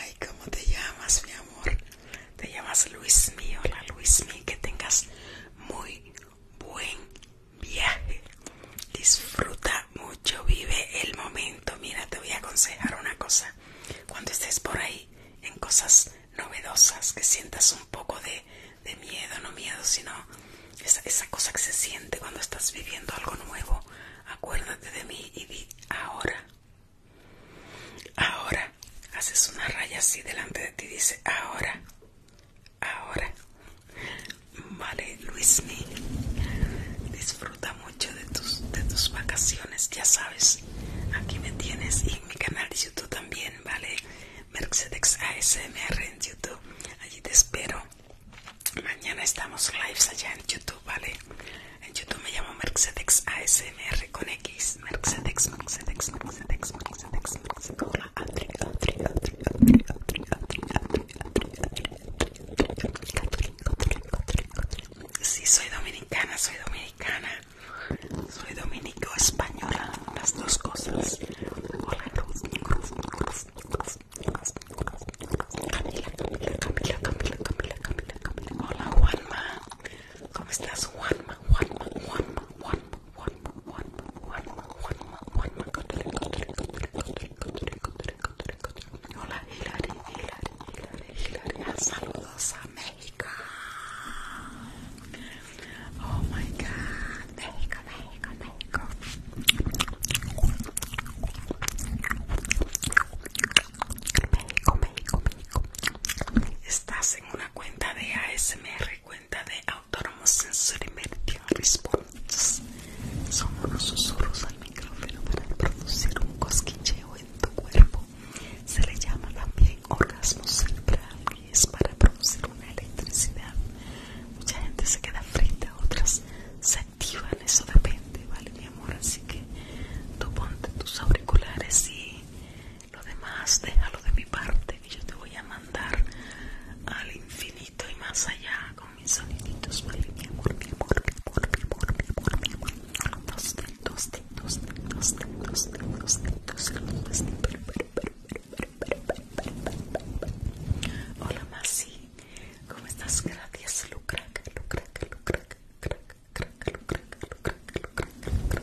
Ay, ¿cómo te llamas, mi amor? Te llamas Luis mío, hola Luis que tengas muy, buen viaje. Disfruta mucho, vive el momento. Mira, te voy a aconsejar una cosa. Cuando estés por ahí en cosas novedosas, que sientas un poco de, miedo, no miedo, sino esa, cosa que se siente cuando estás viviendo algo nuevo, acuérdate de mí y di ahora. Ahora haces una raya así delante de ti, Y dice ahora, ahora vale Luismi, disfruta mucho de tus de tus vacaciones ya sabes aquí me tienes y mi canal de youtube también vale mercedes asmr en youtube allí te espero mañana estamos lives allá en youtube vale en youtube me llamo mercedes asmr con x mercedes mercedes mercedes mercedes mercedes si soy dominicana, soy dominicana. Soy dominico española, las dos cosas. Hola, Cruz, Camila, Camila, Camila, Camila, Camila, Camila, Camila. Hola, Juanma. ¿Cómo estás, Juanma? Juanma, Juanma, Juanma, Hola Hilary, Hilari, Hilary, Hilary, saludos a México. Oh my God, México, México, México. México, México, México. Estás en una cuenta de ASMR cuenta de Autónomos Sensor Meridian Response. Son unos susurros al micrófono para producir un cosquilleo en tu cuerpo. Se le llama también orgasmo cerebral y es para producir una electricidad. Mucha gente se queda frita, otras se activan, eso depende, ¿vale, mi amor? Así que tú ponte tus auriculares y lo demás déjalo de mi parte que yo te voy a mandar al infinito y más allá con mis soniditos, vale, mi amor, mi amor, mi mi Hola, Masi, ¿cómo estás? Gracias, Lucraca, Lucraca, Lucraca, Lucraca, Lucraca, Lucraca, Lucraca,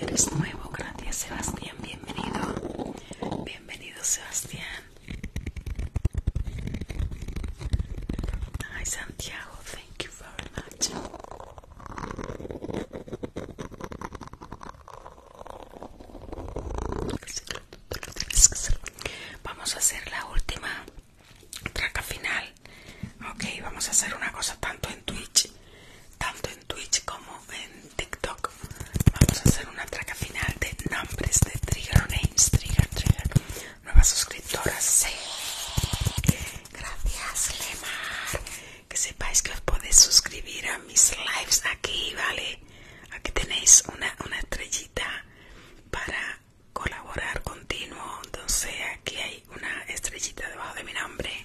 Eres nuevo, gracias Sebastián, bienvenido. Bienvenido Sebastián. Ay Santiago, thank you very much. Vamos a hacer la última traca final. Ok, vamos a hacer una cosa tanto en Twitch, tanto en Twitch como en TikTok. Vamos a hacer una traca final de nombres de Trigger Names, Trigger, Trigger. Nuevas suscriptoras, sí. Gracias, Lemar. Que sepáis que os podéis suscribir a mis lives aquí, ¿vale? Aquí tenéis una, una estrellita para colaborar continuo. Entonces, aquí hay una estrellita debajo de mi nombre.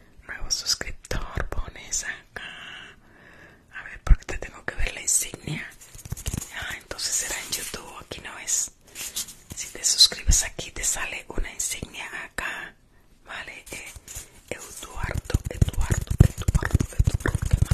nuevo suscriptor, pones acá. A ver, porque te tengo que ver la insignia. Ah, entonces será en YouTube, aquí no es. Si te suscribes aquí, te sale una insignia acá. Vale, eh, Eduardo, Eduardo, Eduardo, Eduardo, Eduardo.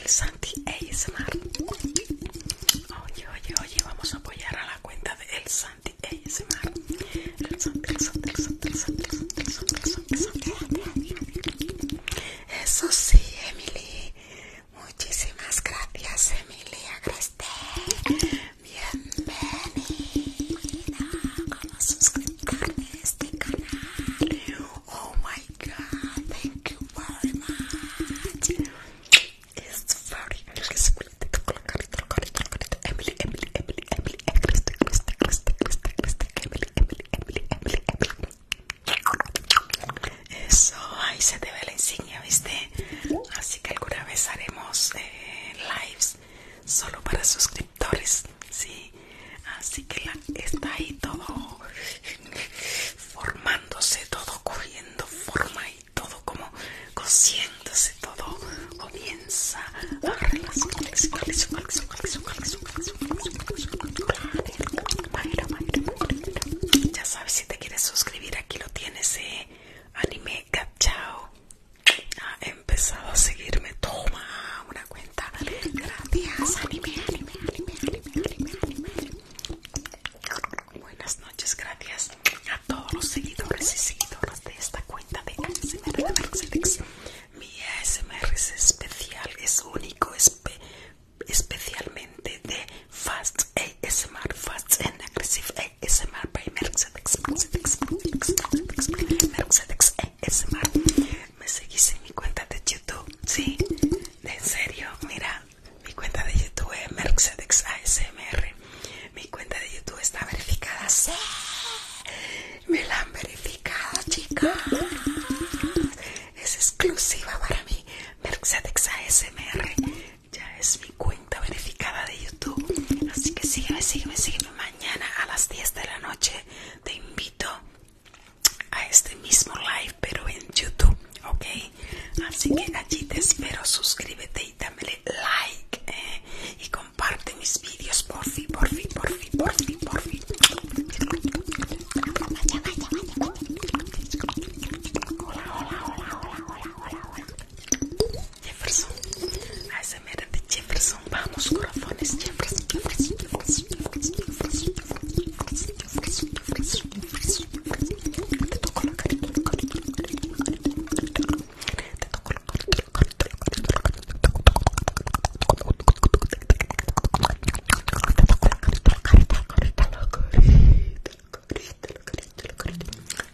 el Santi ASMR. Oye, oye, oye, vamos a apoyar a la cuenta de El Santi ASMR. El Santi, el el Santi, Eso sí, Emily. Muchísimas gracias, Emily. Bienvenida a a este canal. Oh my god, thank you very much. It's very delicious. Emily, Emily, Emily, Emily, Christy, Christy, Christy, Christy, Christy, Emily, Emily, Emily, Emily, Emily. Eso, ahí se te ve la insignia, ¿viste? Así que alguna vez haremos lives solo para suscriptores, ¿sí? Así que está ahí todo formándose todo cogiendo forma y todo como cosiéndose todo comienza ya sabes si te quieres suscribir aquí lo tienes eh anime chao ha empezado a seguirme toma una cuenta gracias anime anime anime anime anime Buenas noches, gracias a todos los seguidores y seguidoras de esta cuenta de ASMR de Mercedes. Mi ASMR es especial, es único, especialmente de Fast ASMR, Fast and Aggressive ASMR by Mercedes, Mercedes, Mercedes, Mercedes ASMR. Me seguís en mi cuenta de YouTube, sí, en serio, mira, mi cuenta de YouTube es Mercedes ASMR. Mi cuenta de YouTube está verificada. ¡Sí! Me la han verificado, chicas. Es exclusiva para mí. Mercedes ASMR. Ya es mi cuenta verificada de YouTube. Así que sígueme, sígueme, sígueme. Mañana a las 10 de la noche te invito a este mismo live, pero en YouTube. Ok, Así que allí te espero, suscríbete y dámele like eh, y comparte mis vídeos, por fin, por fin, por fin, por fin, por fin. Hola, hola, hola, hola, hola, hola, hola. Jefferson, de Jefferson, vamos corazones, Jefferson, Jefferson, Jefferson, Jefferson, Jefferson, Jefferson.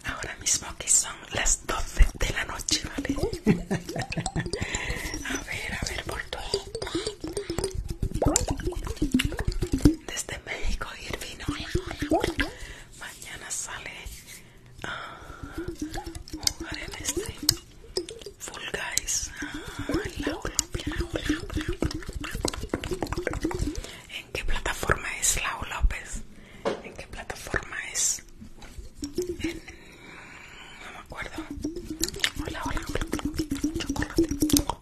Ahora mismo que son las 12 de la noche, ¿vale? a ver, a ver, por todo. desde México y vino. Mañana sale a jugar en este Full Guys Hola ah, Hola. ¿En qué plataforma es Lau López? ¿En qué plataforma es? No me acuerdo. Hola, hola, hola. Chocolate.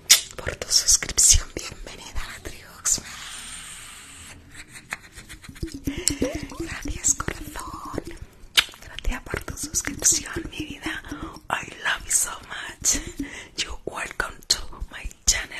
por tu suscripción. Bienvenida a Gracias, corazón. Gracias por tu suscripción, mi vida. I love you so much. you welcome to my channel.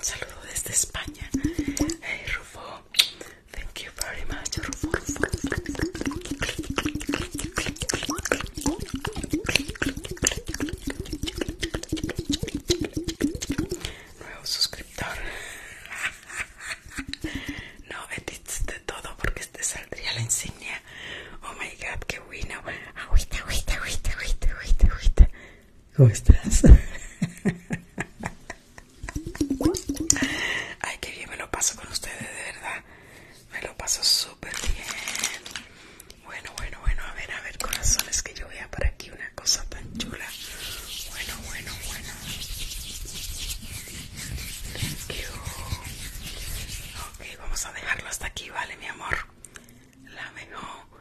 saludo desde España. Hey Rufo, thank you very much, Rufo. Nuevo suscriptor. No edits de todo porque te este saldría la insignia. Oh my god, qué bueno. agüita, agüita, agüita. ¿Cómo estás? Ay, qué bien me lo paso con ustedes, de verdad. Me lo paso súper bien. Bueno, bueno, bueno, a ver, a ver, corazones, que yo a por aquí una cosa tan chula. Bueno, bueno, bueno. Thank you. Ok, vamos a dejarlo hasta aquí, ¿vale, mi amor? La mejor.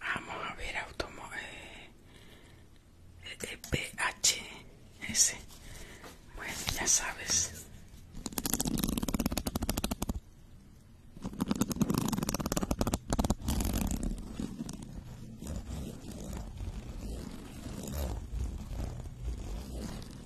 Vamos a ver automóvil eh, eh, PHS. Bueno, ya sabes.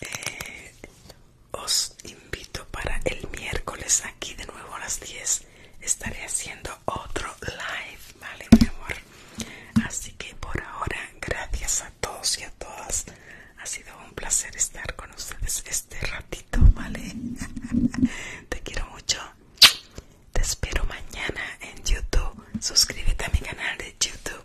Eh, os invito para el miércoles aquí de nuevo a las 10 estaré haciendo otro live vale mi amor así que por ahora gracias a todos y a todas ha sido un placer estar con ustedes este ratito vale te quiero mucho te espero mañana en youtube suscríbete a mi canal de youtube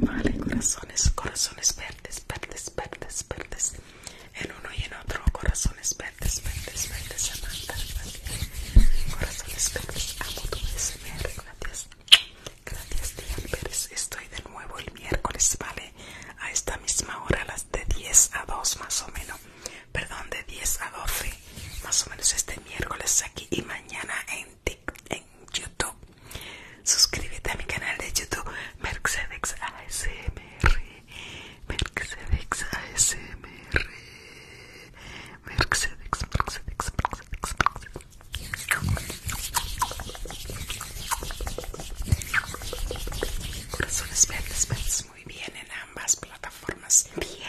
Vale, corazones, corazones verdes, verdes, verdes, verdes. En uno y en otro, corazones verdes, verdes, verdes, Amanda. Vale. Corazones verdes, amo tu SMR, gracias. Gracias, tía Pérez. Estoy de nuevo el miércoles, ¿vale? A esta misma hora, las de 10 a 2 más o menos. Perdón, de 10 a 12, más o menos este miércoles aquí y mañana en en, YouTube. Suscríbete a mi canal de YouTube Mercedes ASMR. Mercedes ASMR. Mercedes, Merxedex Mercedes, Mercedes. Corazones verdes, verdes muy bien en ambas plataformas. Bien.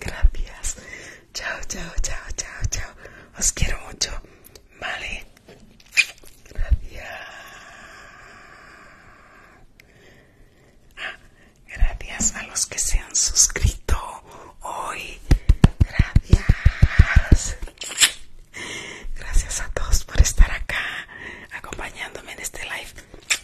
Gracias. Chao, chao, chao, chao, chao. Os quiero mucho. Vale. Gracias. Ah, gracias a los que se han suscrito hoy. Gracias. Gracias a todos por estar acá acompañándome en este live.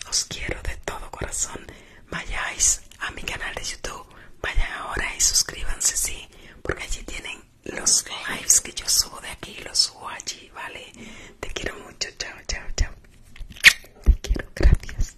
Os quiero de todo corazón. Vayáis a mi canal de YouTube. Vayan ahora y suscríbanse, sí, porque allí tienen los lives que yo subo de aquí. Los subo allí, ¿vale? Te quiero mucho. Chao, chao, chao. Te quiero. Gracias.